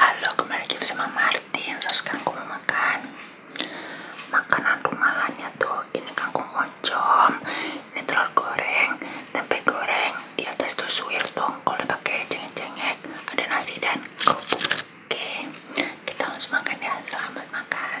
Halo, kembali lagi bersama Martin. Terus kangkung mau makan makanan rumahannya tuh. Ini kangkung oncom, ini telur goreng, tempe goreng. Di atas tuh suwir dong. Kalau pakai cengek-cengek, ada nasi dan kerupuk. Oke, kita langsung makan ya. Selamat makan.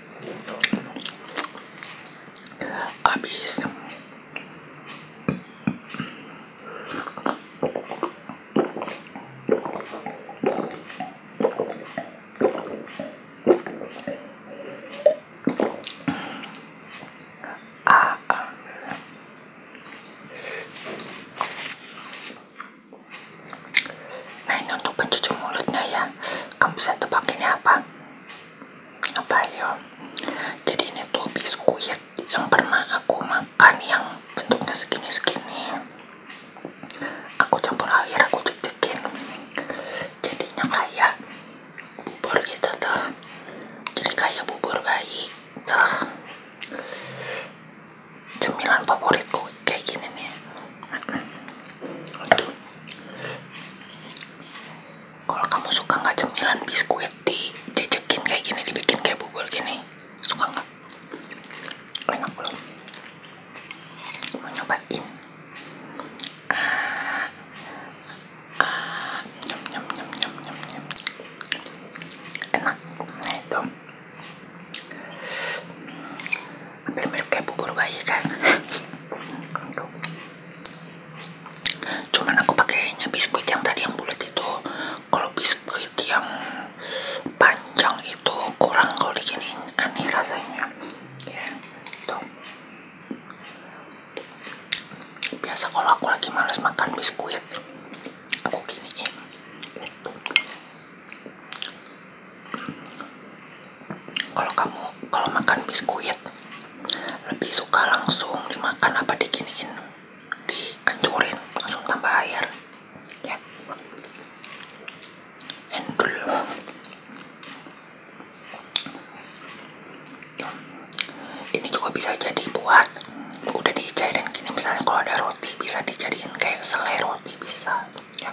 habis ah, Nah ini untuk pencuci mulutnya ya Kamu bisa tebak ini apa? apa ya jadi ini tuh biskuit yang pernah aku makan yang bentuknya segini-segini aku campur air aku jejek-jekin jadinya kayak bubur gitu tuh jadi kayak bubur bayi tuh cemilan favoritku kayak gini nih kalau kamu suka nggak cemilan biskuit dijejekin kayak gini dibikin kayak bubur gini suka nggak enak belum mau nyobain uh, uh, enak nah, itu hampir mirip kayak bubur bayi kan untuk cuman aku pakainya biskuit yang tadi yang bulat itu kalau biskuit yang panjang itu kurang kalau diginiin aneh rasanya ya, gitu. biasa kalau aku lagi males makan biskuit aku giniin kalau kamu kalau makan biskuit lebih suka langsung dimakan apa diginiin dihancurin langsung tambah air ya endul ini juga bisa jadi buat udah dicairin gini misalnya kalau ada roti bisa dijadiin kayak selai roti bisa ya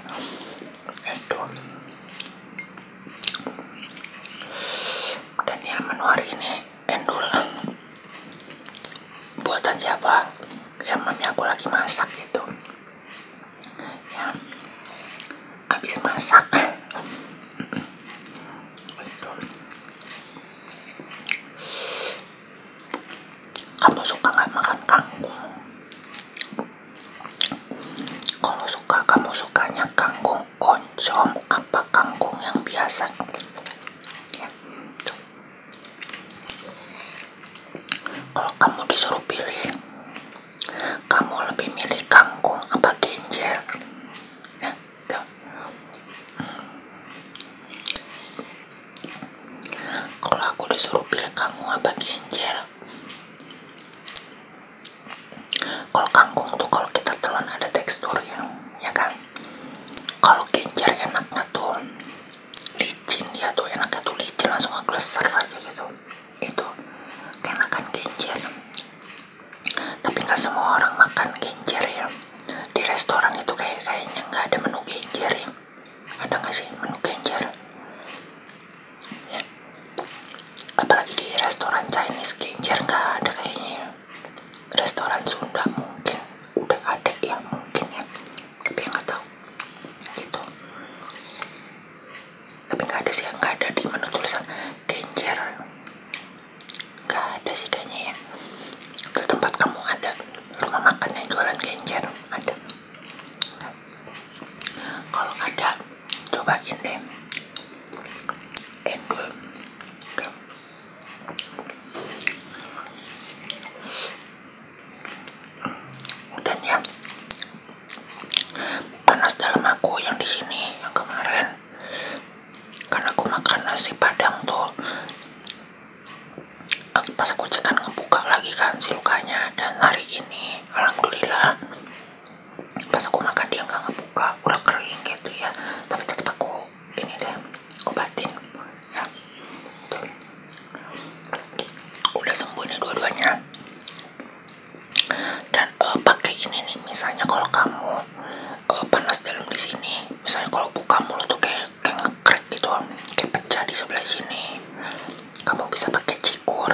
endul dan yang menu hari ini endul buatan siapa yang mami aku lagi masak gitu ya habis masak gitu. kamu suka nggak makan kangkung kalau suka kamu sukanya kangkung oncom apa kangkung yang biasa? Ya, Kalau kamu disuruh pilih, kamu lebih milih kangkung apa genjer? Ya, Kalau aku disuruh pilih kamu apa genjer? kalau kangkung tuh kalau kita telan ada tekstur yang, ya kan kalau genjer enaknya tuh licin ya tuh enaknya tuh licin langsung ngegleser aja gitu itu keenakan genjer tapi nggak semua orang makan genjer ya di restoran itu kayak kayaknya nggak ada menu genjer ya. ada nggak sih menu genjer apalagi di restoran Chinese genjer nggak ada kayaknya restoran Sunda mungkin udah ada ya mungkin ya tapi nggak tahu gitu tapi nggak ada sih nggak ada di menu tulisan genjer nggak ada sih kayaknya ya ke tempat kamu ada rumah makan yang jualan genjer ada kalau ada cobain deh dan ya panas dalam aku yang di sini yang kemarin karena aku makan nasi padang tuh pas aku cek kan ngebuka lagi kan si lukanya dan hari ini alhamdulillah pas aku makan dia nggak ngebuka udah kering gitu ya tapi tetap aku ini deh obatin ya udah sembuh nih dua-duanya dan uh, pakai ini nih misalnya kalau kamu uh, panas dalam di sini misalnya kalau buka mulut tuh kayak kayak ngekrek gitu kayak pecah di sebelah sini kamu bisa pakai cikur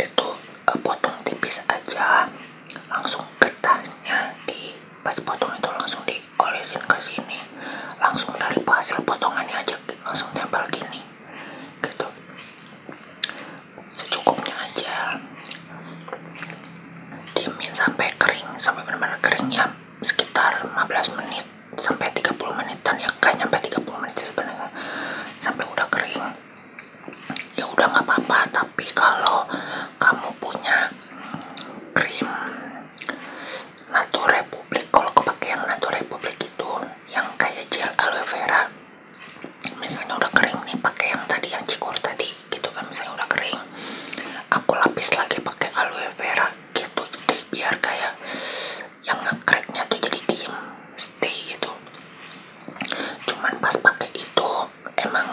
itu eh, potong tipis aja langsung getahnya di pas potong itu langsung diolesin ke sini langsung dari hasil potongannya aja langsung tempel gini gitu secukupnya aja diemin sampai kering sampai benar-benar keringnya sekitar 15 menit sampai 30 menitan ya gak nyampe 30 menit sebenarnya sampai udah kering ya udah nggak apa-apa tapi kalau kamu punya krim natu Republik kalau aku pakai yang natu Republik itu yang kayak gel aloe vera misalnya udah kering nih pakai yang tadi yang cikur tadi gitu kan misalnya udah kering aku lapis lagi pakai aloe vera gitu jadi biar kayak yang ngekreknya tuh jadi diem stay gitu cuman pas pakai itu emang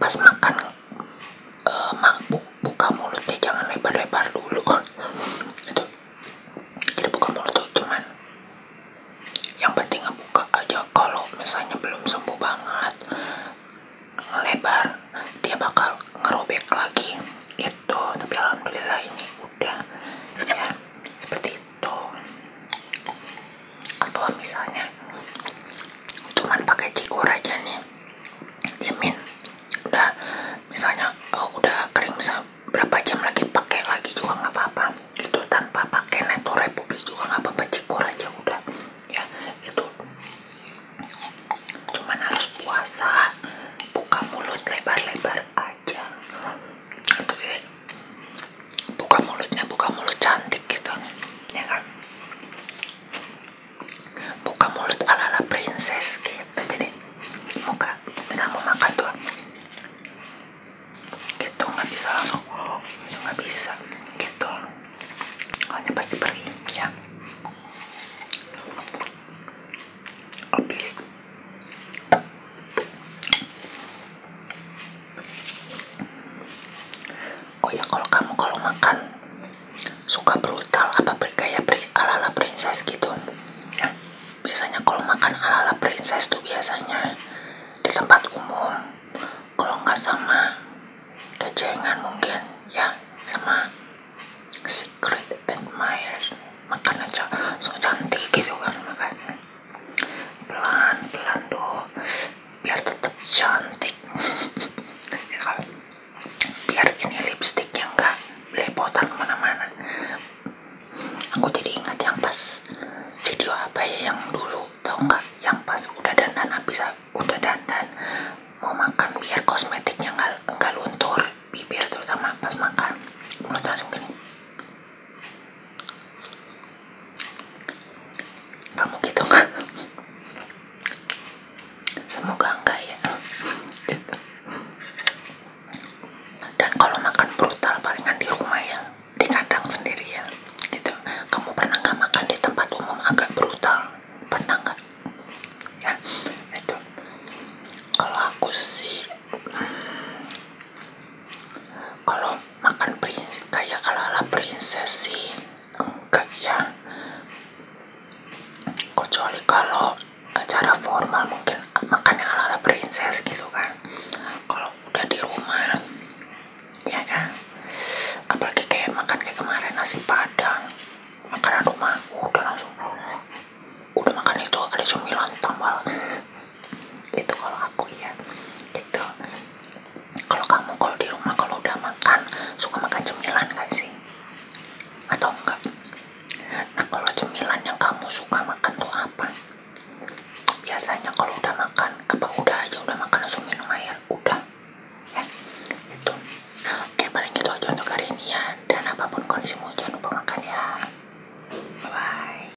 pas makan uh, bu buka mulutnya jangan lebar-lebar dulu itu jadi buka mulut tuh cuman yang penting buka aja kalau misalnya belum sembuh banget lebar dia bakal ngerobek lagi itu tapi alhamdulillah ini udah ya seperti gitu atau misalnya cuman pakai cikor aja nih dimin udah misalnya oh, udah kering misalnya berapa jam lagi pakai lagi juga nggak apa-apa itu tanpa pakai neto republik juga nggak apa-apa cikor aja udah ya itu cuman harus puasa buka mulut lebar-lebar aja jadi, buka mulutnya buka mulut cantik gitu ya kan buka mulut ala ala princess gitu jadi muka misal mau makan tuh gitu nggak bisa langsung gitu, nggak bisa gitu soalnya pasti pergi ya habis Oh ya kalau kamu kalau makan suka brutal apa bergaya ala-ala princess gitu. Ya. Biasanya kalau makan ala-ala princess tuh biasanya di tempat umum. Kalau nggak sama kejengan mungkin ya sama secret admirer makan aja so cantik gitu kan makanya pelan-pelan dong biar tetap cantik ya kan? biar ini lipstiknya nggak belepotan kemana-mana aku jadi ingat yang pas video apa ya yang dulu tau nggak yang pas udah dandan habis udah dandan mau makan biar kosmetiknya nggak nggak luntur bibir terutama pas makan mulus langsung kamu gitu nggak? semoga enggak ya dan kalau makan brutal palingan di rumah ya di kandang sendiri ya Itu. kamu pernah nggak makan di tempat umum agak brutal pernah nggak ya itu kalau aku sih hmm, kalau makan prins kayak ala-ala princess sih enggak ya kecuali kalau acara formal mungkin makan ala-ala princess gitu kan kalau udah di rumah ya kan apalagi kayak makan kayak kemarin nasi padang makanan rumah udah langsung udah makan itu ada cemilan tambal itu kalau aku ya itu kalau kamu kalau di rumah kalau udah makan suka makan cemilan gak sih atau enggak nah kalau cemilan yang kamu suka makan tuh apa biasanya kalau udah makan apa udah aja udah makan langsung minum air udah ya, itu oke paling gitu aja untuk hari ini ya dan apapun kondisimu jangan lupa makan ya -bye.